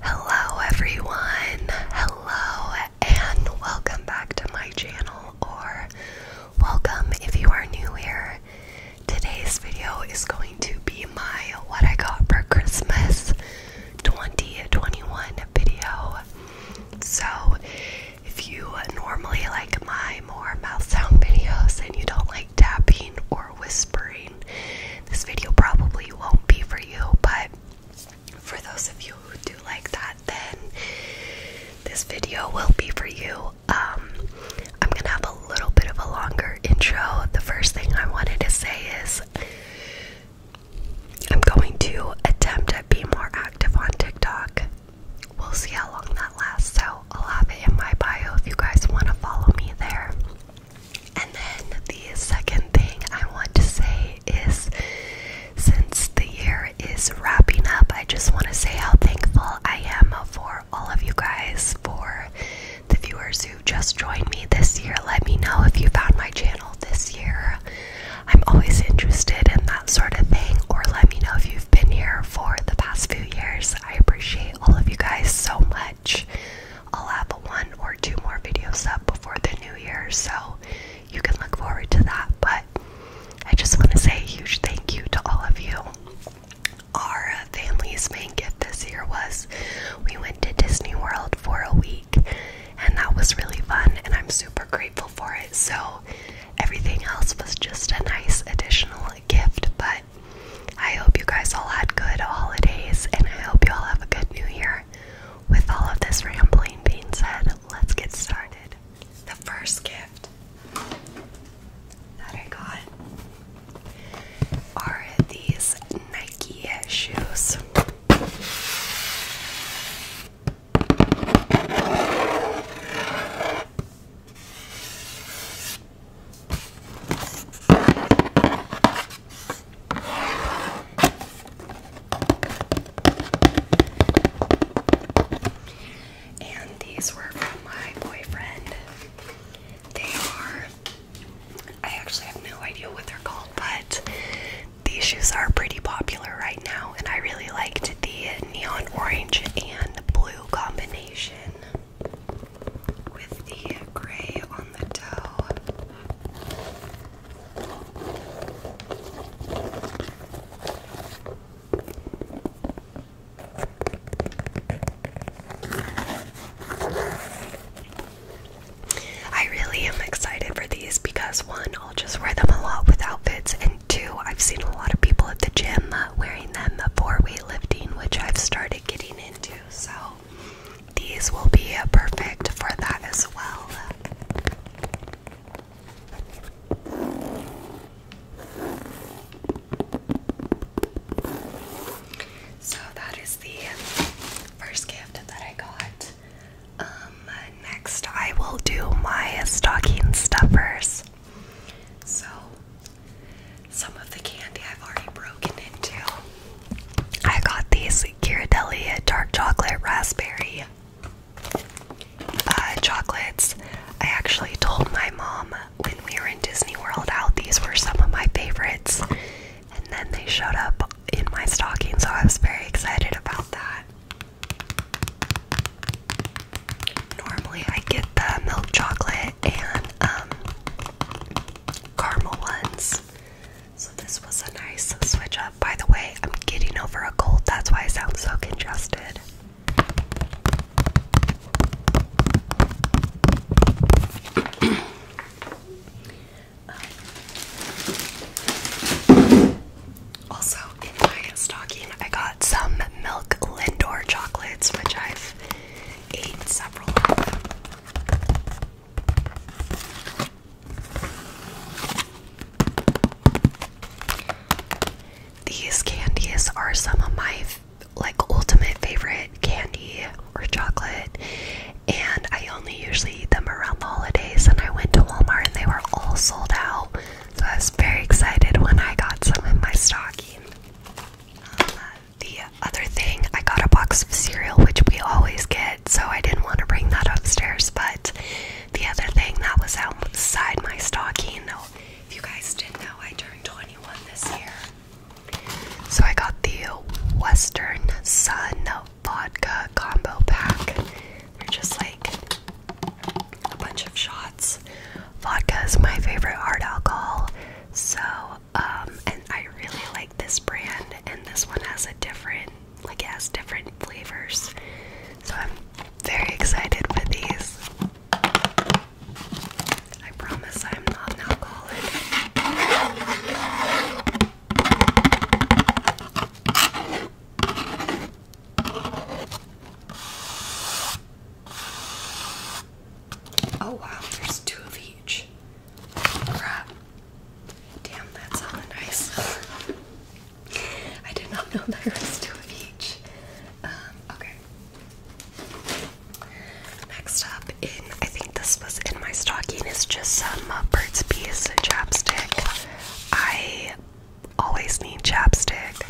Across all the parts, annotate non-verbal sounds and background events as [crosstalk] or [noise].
Hello, everyone. Hello, and welcome back to my channel, or welcome if you are new here. Today's video is going to be my What I Got for Christmas 2021 video. So, if you normally like my more mouth sound videos and you don't like tapping or whispering, this video probably won't be for you. But for those of you who do like that, then this video will be for you. Um, I'm gonna have a little bit of a longer intro. The first thing I wanted to say is I'm going to attempt at being more active on TikTok we'll see how long that lasts. So I'll have it in my bio if you guys want to follow me there. And then the second thing I want to say is since the year is wrapping up, I just want to say how thankful I am for all of you guys, for the viewers who just joined me this year. Let me know if you found my channel this year. I'm always interested in that sort of thing, or let me know if you been here for the past few years. I appreciate all of you guys so much. I'll have one or two more videos up before the new year, so you can look forward to that. But I just want to say a huge thank you to all of you. Our family's main gift this year was we went to Disney World for a week, and that was really fun, and I'm super grateful for it. So, Everything else was just a nice additional gift, but I hope you guys all had good holidays and I hope you all have a good new year. With all of this rambling being said, let's get started. The first gift that I got are these Nike shoes. And these were from my boyfriend. They are, I actually have no idea what they're called, but these shoes are pretty popular right now, and I really liked the neon orange and blue combination with the gray on the toe. I really am excited for these because one, I'll just wear them a lot with outfits. And two, I've seen a lot of people at the gym uh, wearing them for weightlifting, which I've started getting into. So these will be uh, perfect for that as well. So that is the first gift that I got. Um, next, I will do my stocking stuffers. So, some of the candy I've already broken into. I got these Ghirardelli dark chocolate raspberry uh, chocolates. I actually told my mom when we were in Disney World how these were some of my favorites, and then they showed up in my stocking, so I was very excited about that. Normally, I get the milk chocolate and um, caramel ones. So, this was a nice switch up. By the way, I'm getting over a cold, that's why I sound so congested also, in my stocking, I got some Milk Lindor chocolates, which I've ate several of them. These candies are some of my like ultimate favorite candy or chocolate and I only usually eat them around the holidays. And I went to Walmart and they were all sold out, so I was very excited when I got some in my stocking. Uh, the other thing, I got a box of cereal, which we always get, so I didn't want to bring that upstairs. But the other thing that was outside my stocking, though, if you guys didn't know, I turned 21 this year. So I got the Western Sun vodka combo pack. They're just like a bunch of shots. Vodka is my favorite hard alcohol. So, um, and I really like this brand, and this one has a different, like, it has different flavors. So, I'm very excited for these. I promise I'm not an alcoholic. Oh wow, there's two of each. Crap. Damn, that sounded nice. [laughs] I did not know there was two of each. Um, okay. Next up in I think this was in my stocking It's just some uh, Burt's Bees chapstick. I always need chapstick,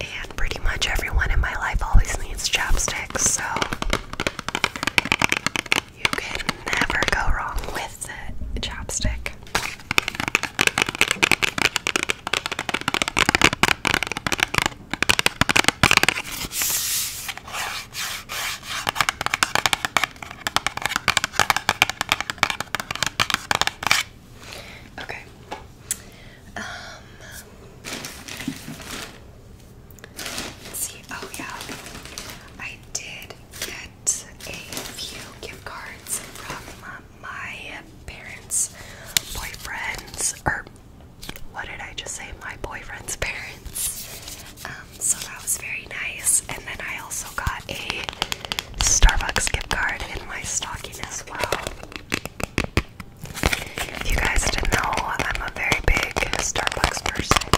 and pretty much everyone in my life always needs chapstick, so you can never go wrong with the chapstick. Okay. Um see. Oh yeah. I did get a few gift cards from my parents' boyfriends or what did I just say? My boyfriend's parents. Um, so that was very nice. And then I also got a Starbucks gift card in my stocking as well. If you guys didn't know, I'm a very big Starbucks person.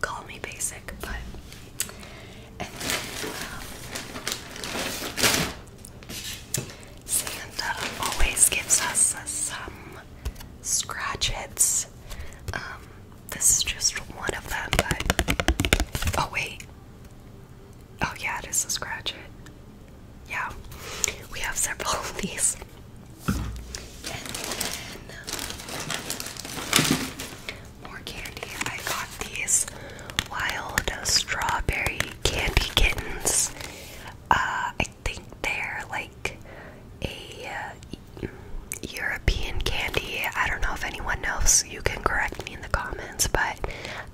Call me basic, but. Um, Santa always gives us some scratch um, this is just one of them, but. Oh, wait. Oh, yeah, it is a scratch it. Yeah, we have several of these. And then more candy. I got these wild strawberry candy kittens. Uh, think they're like a uh, European candy. I don't know if anyone else. You can correct me in the comments, but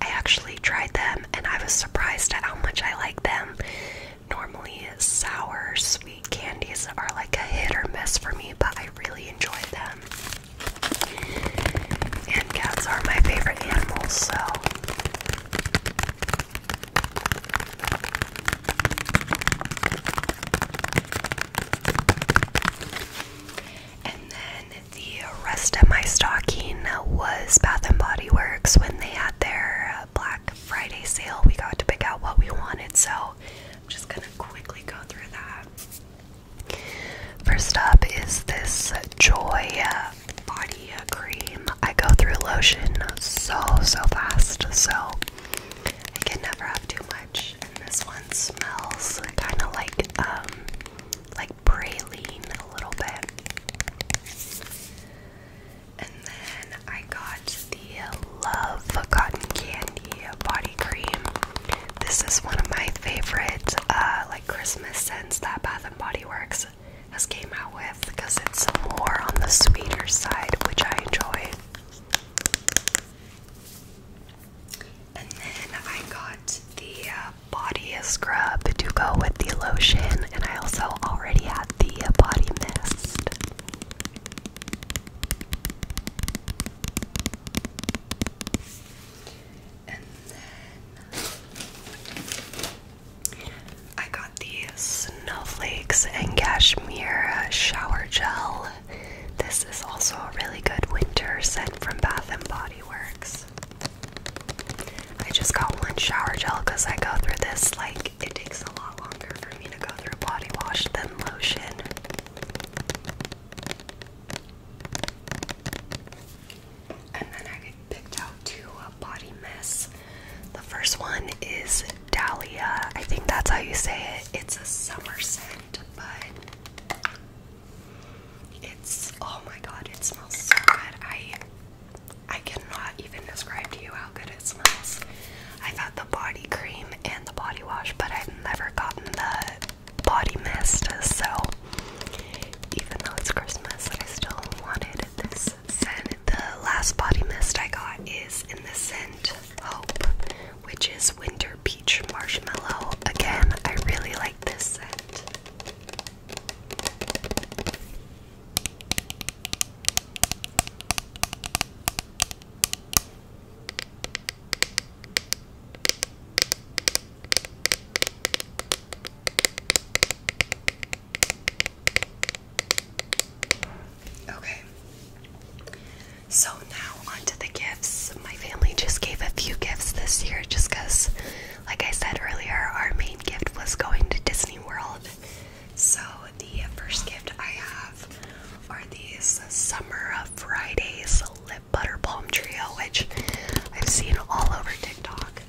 I actually tried them and I was surprised at how much I like them. Normally, sour sweet candies are like a hit or miss for me, but I really enjoyed them. And cats are my favorite animals, so and then the rest of my stocking was Bath and Body Works when they had their Black Friday sale. We got to pick out what we wanted, so I'm just gonna quickly go through that. First up is this Joy Body Garnier cream. I go through lotion so, so fast, so I can never have too much. And this one smells kind of like, um, like praline a little bit. And then I got the Love Cotton Candy Body Cream. This is one of my favorite, uh, like Christmas scents that Bath and Body Works has came out with because it's more on the sweeter side, which I enjoy. And then I got the uh, body scrub to go with the lotion, and I also already had the body mist. And then I got the Snowflakes and Cashmere uh, Shower Gel. This is also a really good winter scent from Bath and Body Works. I just got one shower gel because I go through this, like, it takes a lot longer for me to go through body wash than lotion. And then I picked out two uh, body mist. The first one is Dahlia. I think that's how you say it. It's a summer scent, but it's oh my god, it smells so good. I I cannot even describe to you how good it smells. I've had the body cream and the body wash, but I've never gotten the body mist. So even though it's Christmas, I still wanted this the last body mist I got is in the scent Hope, which is Winter Peach Marshmallow. Again, I really like this scent. Okay. So now on to the gifts. My family just gave a few gifts this year just because, like I said earlier, our main gift was going to Disney World. So the first gift I have are these Summer Fridays Lip Butter Palm Trio, which I've seen all over TikTok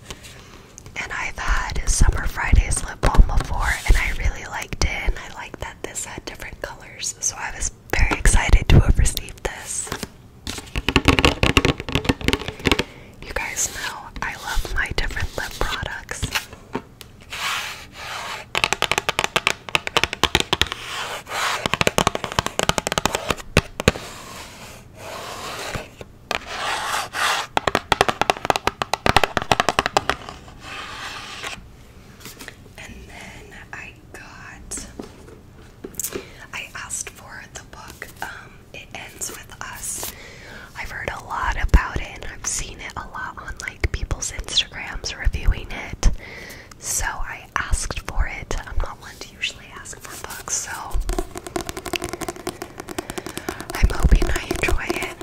and I've had Summer Fridays lip balm before, and I really liked it. And I liked that this had different colors, so I was very excited to have received this. You guys know I love my different lip products. And then I got I asked for the book um It Ends With Us. I've heard a lot about it and I've seen it a lot on like people's Instagrams reviewing it. So I asked for it. I'm not one to usually ask for books, so I'm hoping I enjoy it.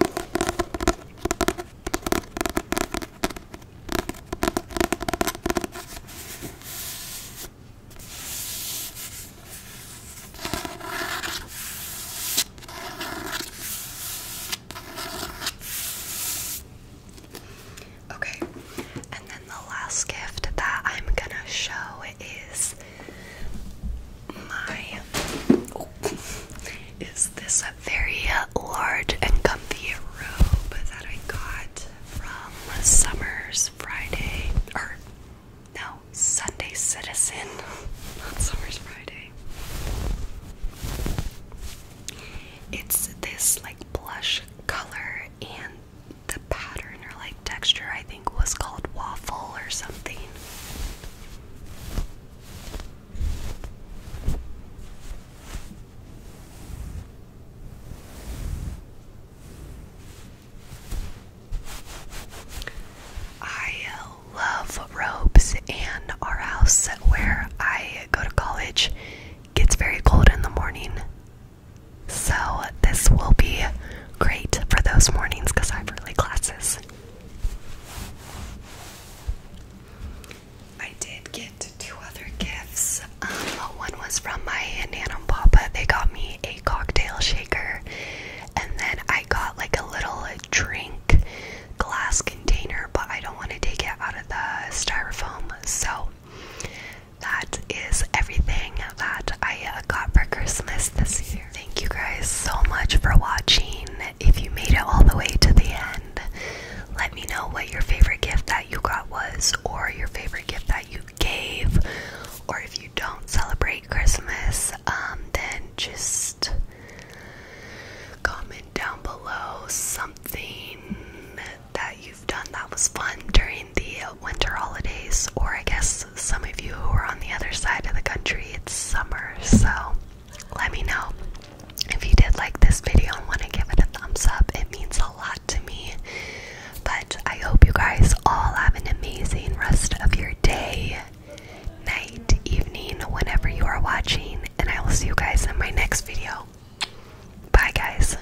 Okay, and then the last gift that I'm gonna show is my oh, is this a very large and comfy robe that I got from Summer's Friday or no Sunday Citizen, not Summer's Friday. It's this like blush color and the pattern or like texture I think was called waffle or something. I love robes, and our house where I go to college gets very cold in the morning. So, this will be great for those mornings because I have early classes. I did get two other gifts. Um, one was from my Nana and Papa. They got me a cocktail shaker, and then I got like a little drink glass container, but I don't want to take it out of the styrofoam. So that is everything that I uh, got for Christmas this year. Thank you guys so much for watching. If you made it all the way to the end, let me know what your favorite gift that you got was, or your favorite gift that you gave, or if you don't celebrate Christmas, um, then just comment down below something that you've done that was fun during the winter holidays, or I guess some of you who are on the other side of the country, it's summer. So let me know if you did like this video and want to give it a thumbs up. It means a lot to me. But I hope you guys all have an amazing rest of your day, night, evening, whenever you are watching, and I will see you guys in my next video. Bye, guys.